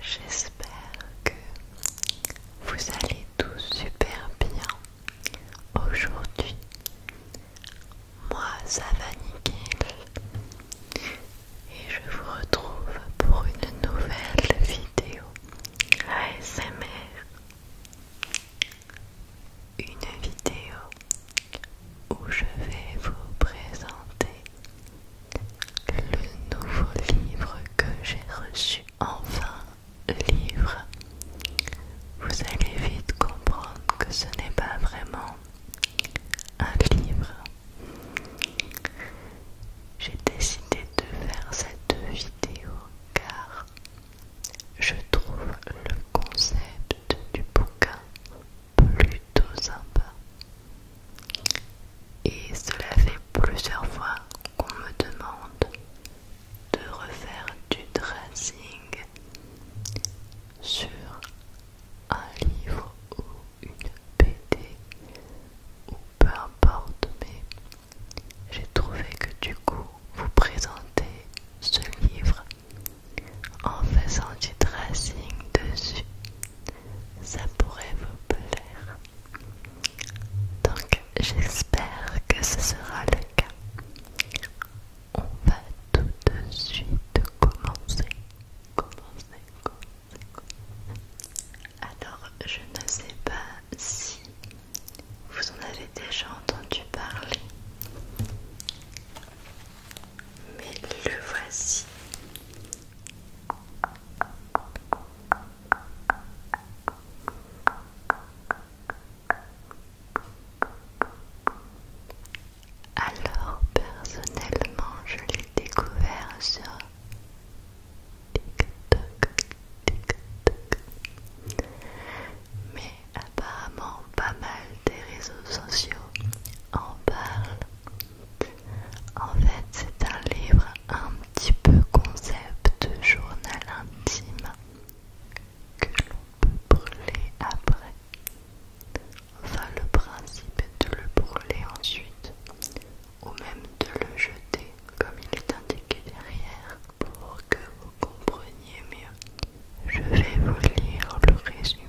J'espère que vous allez tous super bien aujourd'hui. Moi, ça va nickel. Et je vous retrouve pour une nouvelle vidéo ASMR. Une vidéo où je vais vous présenter le nouveau livre que j'ai reçu. Enfin, livre. Vous allez vite comprendre que ce n'est pas vraiment un livre, j'ai décidé de faire cette vidéo car je trouve le concept du bouquin plutôt sympa. Et cela fait plusieurs fois qu'on me demande de refaire du dressing sur un livre ou une BD ou peu importe, mais j'ai trouvé que du coup vous présentez ce livre en faisant du tracing dessus, ça pourrait vous plaire. Donc j'espère que ce sera le cas on va tout de suite commencer. Commencer, commencer. Alors, je ne sais pas si vous en avez déjà entendu parler, mais le voici. Alors personnellement je l'ai découvert sur TikTok, TikTok, mais apparemment pas mal des réseaux sociaux en parlent. En fait c'est un livre un petit peu concept journal intime que l'on peut brûler après. Enfin, le principe est de le brûler ensuite, ou même de le jeter comme il est indiqué derrière, pour que vous compreniez mieux. Je vais vous lire le résumé.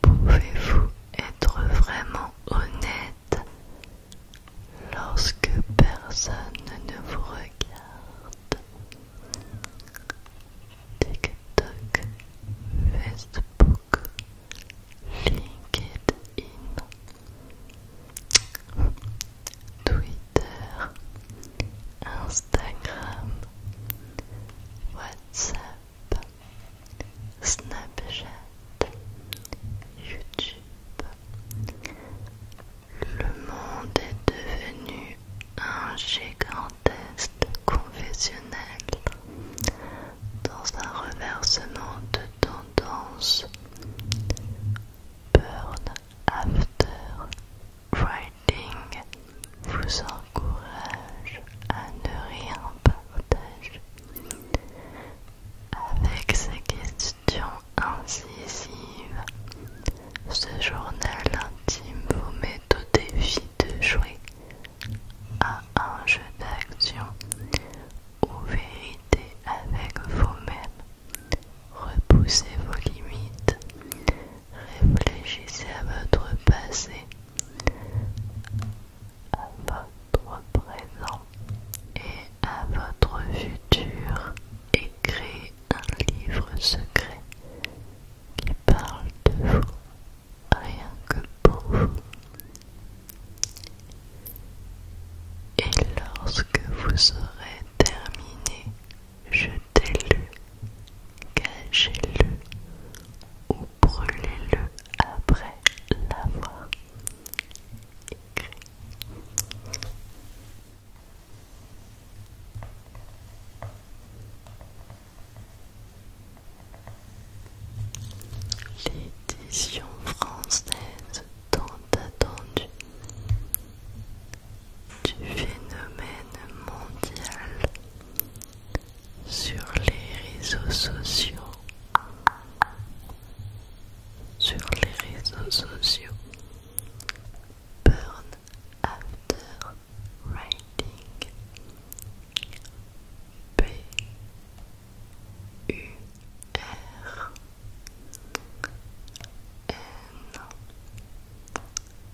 Pouvez-vous être vraiment honnête lorsque personne ne vous regarde TikTok, Facebook, LinkedIn, Twitter, Instagram, WhatsApp. Snapchat, YouTube. Le monde est devenu un gigantesque confessionnel dans un reversement de tendance. Burn after writing vous encourage à ne rien partager avec ces questions incisives. Ce journal intime vous met au défi de jouer à un jeu d'action ou vérité avec vous-même. Repoussez vos limites, réfléchissez à votre passé à votre présent et à votre futur et un livre secret qui parle de vous rien que pour vous. Et lorsque vous aurez terminé, t'ai lu. Cachez-le ou brûlez-le après l'avoir écrit. L'édition française tant attendue du phénomène mondial sur les réseaux sociaux, sur les réseaux sociaux, Burn After Writing, P U R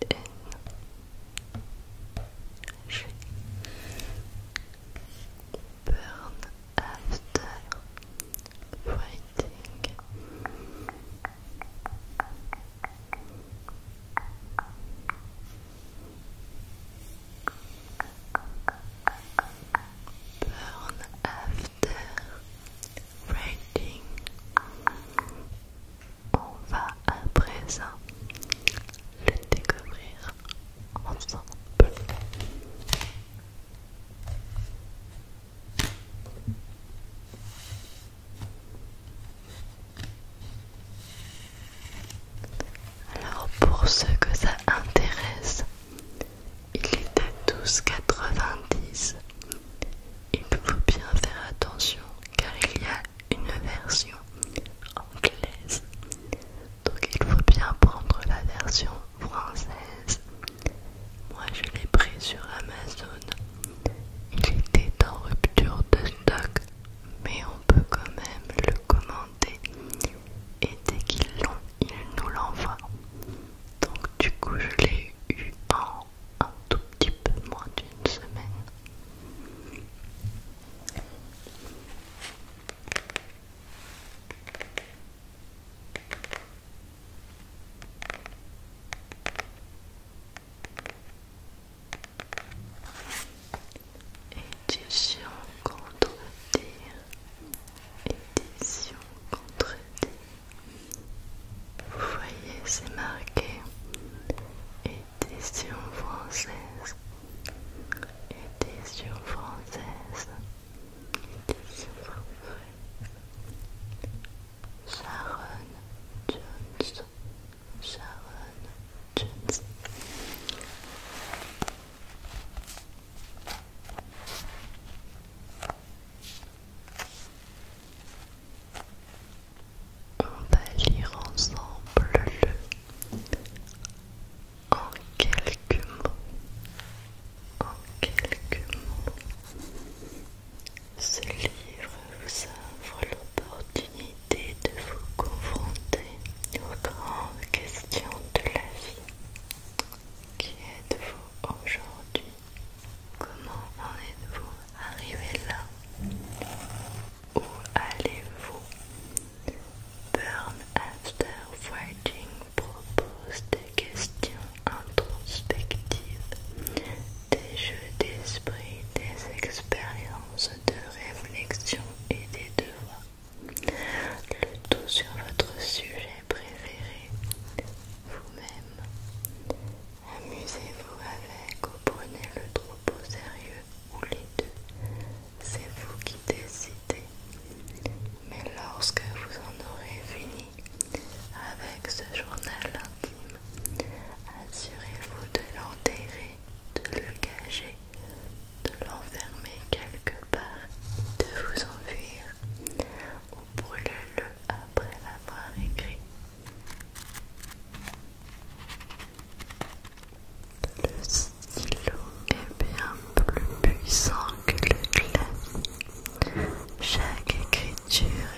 in she after fighting burn after writing on va à présent le découvrir ensemble. Alors pour ceux que ça intéresse, il est était 12,90 il faut bien faire attention car il y a une version anglaise. Donc il faut bien prendre la version française. Moi je l'ai pris sur Amazon. Il était en rupture de stock, mais on peut quand même le commander. Et dès qu'ils l'ont, ils nous l'envoient. Donc du coup je l'ai eu en un tout petit peu moins d'une semaine. Édition contre édition contre vous voyez, c'est marqué édition française, édition française, édition française. Sharon Jones, Sharon Jones. On va lire ensemble le en quelques mots. En quelques mots. Ce livre vous offre l'opportunité de vous confronter aux grandes questions de la vie. Qui êtes-vous aujourd'hui Comment en êtes-vous arrivé là Où allez-vous Burn After Fighting propose des questions introspectives, des jeux d'esprit, des expériences de réflexion et des devoirs. Le tout sur votre sujet préféré, vous-même. Amusez-vous avec ou prenez le troupeau sérieux ou les deux. C'est vous qui décidez. Mais lorsque vous en aurez fini avec ce journal intime, assurez-vous de l'enterrer, de le gager, de l'enfermer quelque part, de vous enfuir ou brûle-le après l'avoir écrit. Le stylo est bien plus puissant que le clavier. Chaque écriture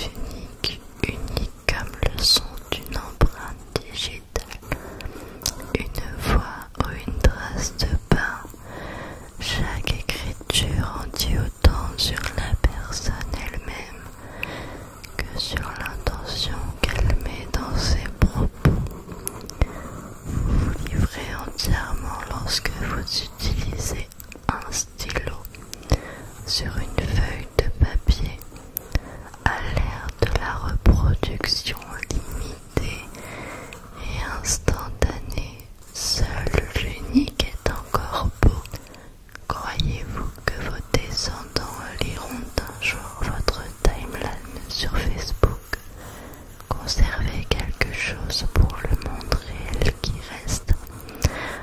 est unique, unique comme le son d'une empreinte digitale, une voix ou une trace de pain chaque écriture en dit autant sur la personne elle-même que sur l'intention qu'elle met dans ses propos. Vous vous livrez entièrement lorsque vous utilisez un stylo sur une feuille de papier à l'ère de la reproduction limitée et instantanée Seul l'unique est encore beau. Croyez-vous que vos descendants liront un jour votre timeline sur Facebook Conservez quelque chose pour le monde réel qui reste.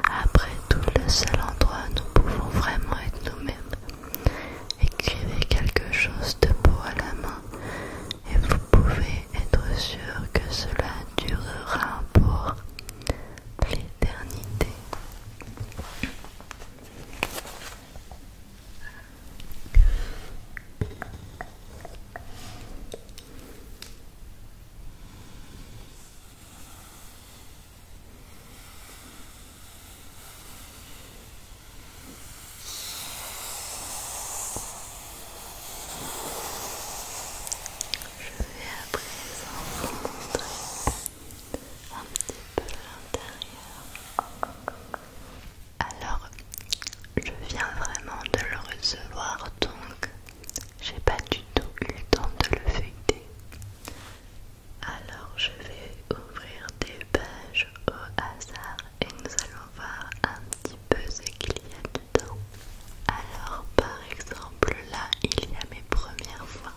Après tout, le seul endroit où nous pouvons vraiment être nous-mêmes. Écrivez quelque chose de beau à la main et vous pouvez être sûr que cela durera pour l'éternité. Je vais à présent vous montrer un petit peu l'intérieur. Alors, je viens vraiment de le recevoir donc j'ai pas du tout eu le temps de le feuilleter. Alors, je vais ouvrir des pages au hasard et nous allons voir un petit peu ce qu'il y a dedans. Alors par exemple là il y a mes premières fois,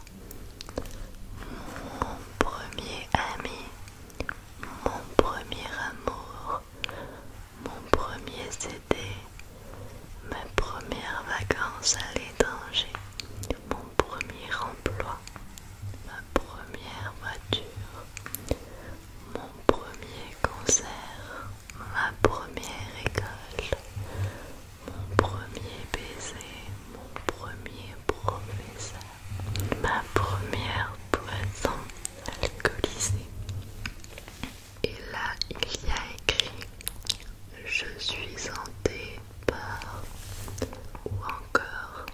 mon premier ami, mon premier amour, mon premier CD, Ma première vacances à l'étranger, mon premier emploi, ma première voiture, mon premier concert, ma première école, mon premier baiser, mon premier professeur, ma première poison alcoolisée. Et là, il y a écrit Je suis en par ou encore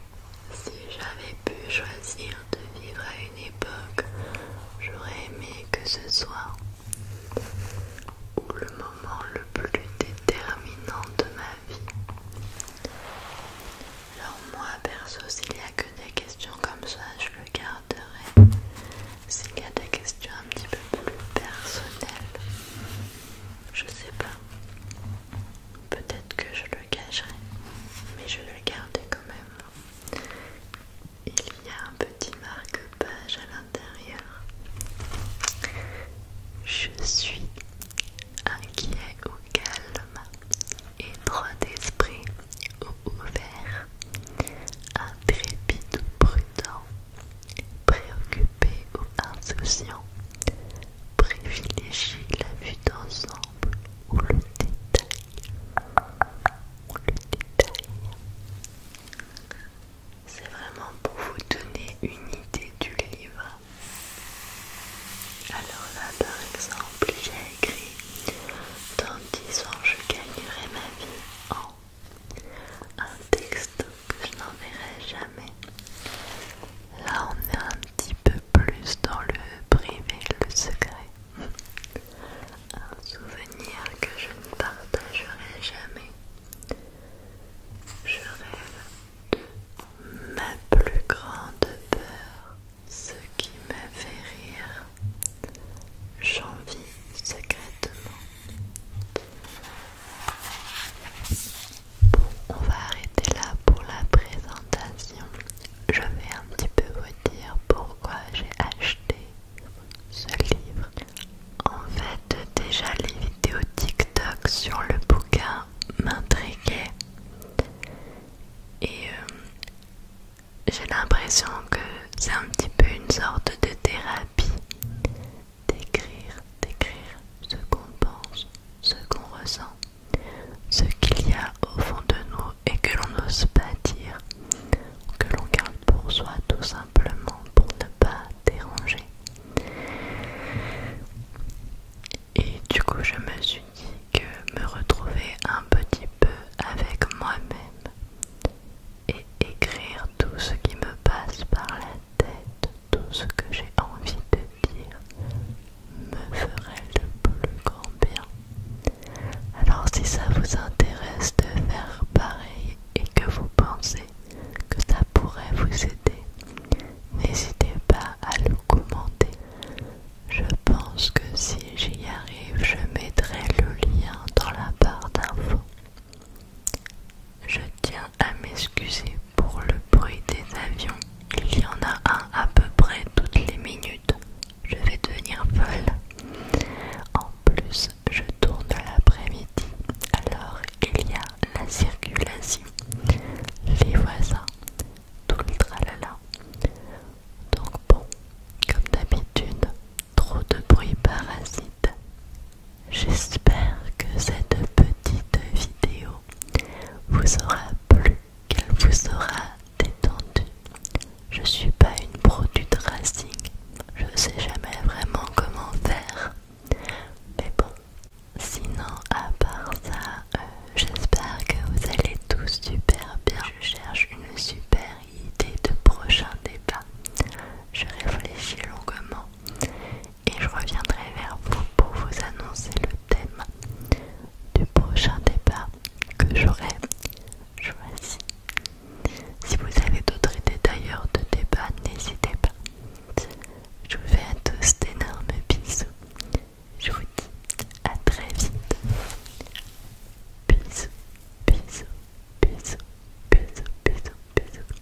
si j'avais pu choisir de vivre à une époque, j'aurais aimé que ce soit le moment le plus déterminant de ma vie. Alors moi perso, s'il n'y a que des questions comme ça, je le garderai. S'il y a des questions un petit peu plus personnelles, je sais pas. Peut-être que je le cacherai, mais je vais le garder quand même. Il y a un petit marque-page à l'intérieur. Je suis inquiet ou calme, étroit d'esprit ou ouvert, intrépide ou prudent, préoccupé ou insouciant, privilégie la vue d'ensemble, ou le détail. C'est vraiment pour vous donner une idée du livre. Alors là, par exemple, j'ai écrit Dans 10 ans, je gagnerai ma vie en un texte que je n'enverrai jamais. Là, on est un petit peu plus dans le privé, le secret. Un souvenir que je ne partagerai jamais. Je rêve ma plus grande peur, ce qui me fait rire. J'en vis secrètement. Bon, on va arrêter là pour la présentation. Je vais un petit peu vous dire pourquoi j'ai acheté ce livre. En fait, déjà les vidéos TikTok sur le bouquin m'intriguaient. Et euh, j'ai l'impression que c'est un petit peu une sorte de thérapie. D'écrire, d'écrire ce qu'on pense, ce qu'on ressent. Ce qu'il y a au fond de nous et que l'on n'ose pas dire, que l'on garde pour soi tout simplement pour ne pas déranger. Et du coup, je me suis dit que me retrouver un petit peu avec moi-même et écrire tout ce qui me passe par la tête, tout ce que j'ai envie de me ferait le plus grand bien. Alors si ça vous intéresse de faire pareil et que vous pensez que ça pourrait vous aider, n'hésitez pas à le commenter. Je pense que si j'y arrive, je mettrai le lien dans la barre d'infos. Je tiens à m'excuser pour le bruit des avions, il y en a un à peu près toutes les minutes. Je vais devenir folle. En plus, je tourne l'après-midi. Alors, il y a la circulation, les voisins, tout le tralala. Donc bon, comme d'habitude, trop de bruit parasite. J'espère que cette petite vidéo vous aura plu, qu'elle vous aura détendue. Je suis pas une pro du Je je sais jamais vraiment comment faire. Mais bon, sinon à part ça, euh, j'espère que vous allez tous super bien. Je cherche une super idée de prochain débat. Je réfléchis longuement et je reviendrai vers vous pour vous annoncer le thème du prochain débat que j'aurai choisi. Si vous avez d'autres idées d'ailleurs de débat, n'hésitez pas. Je vous fais à tous d'énormes bisous. Je vous dis à très vite. Bisous, bisous, bisous, bisous, bisous, bisous.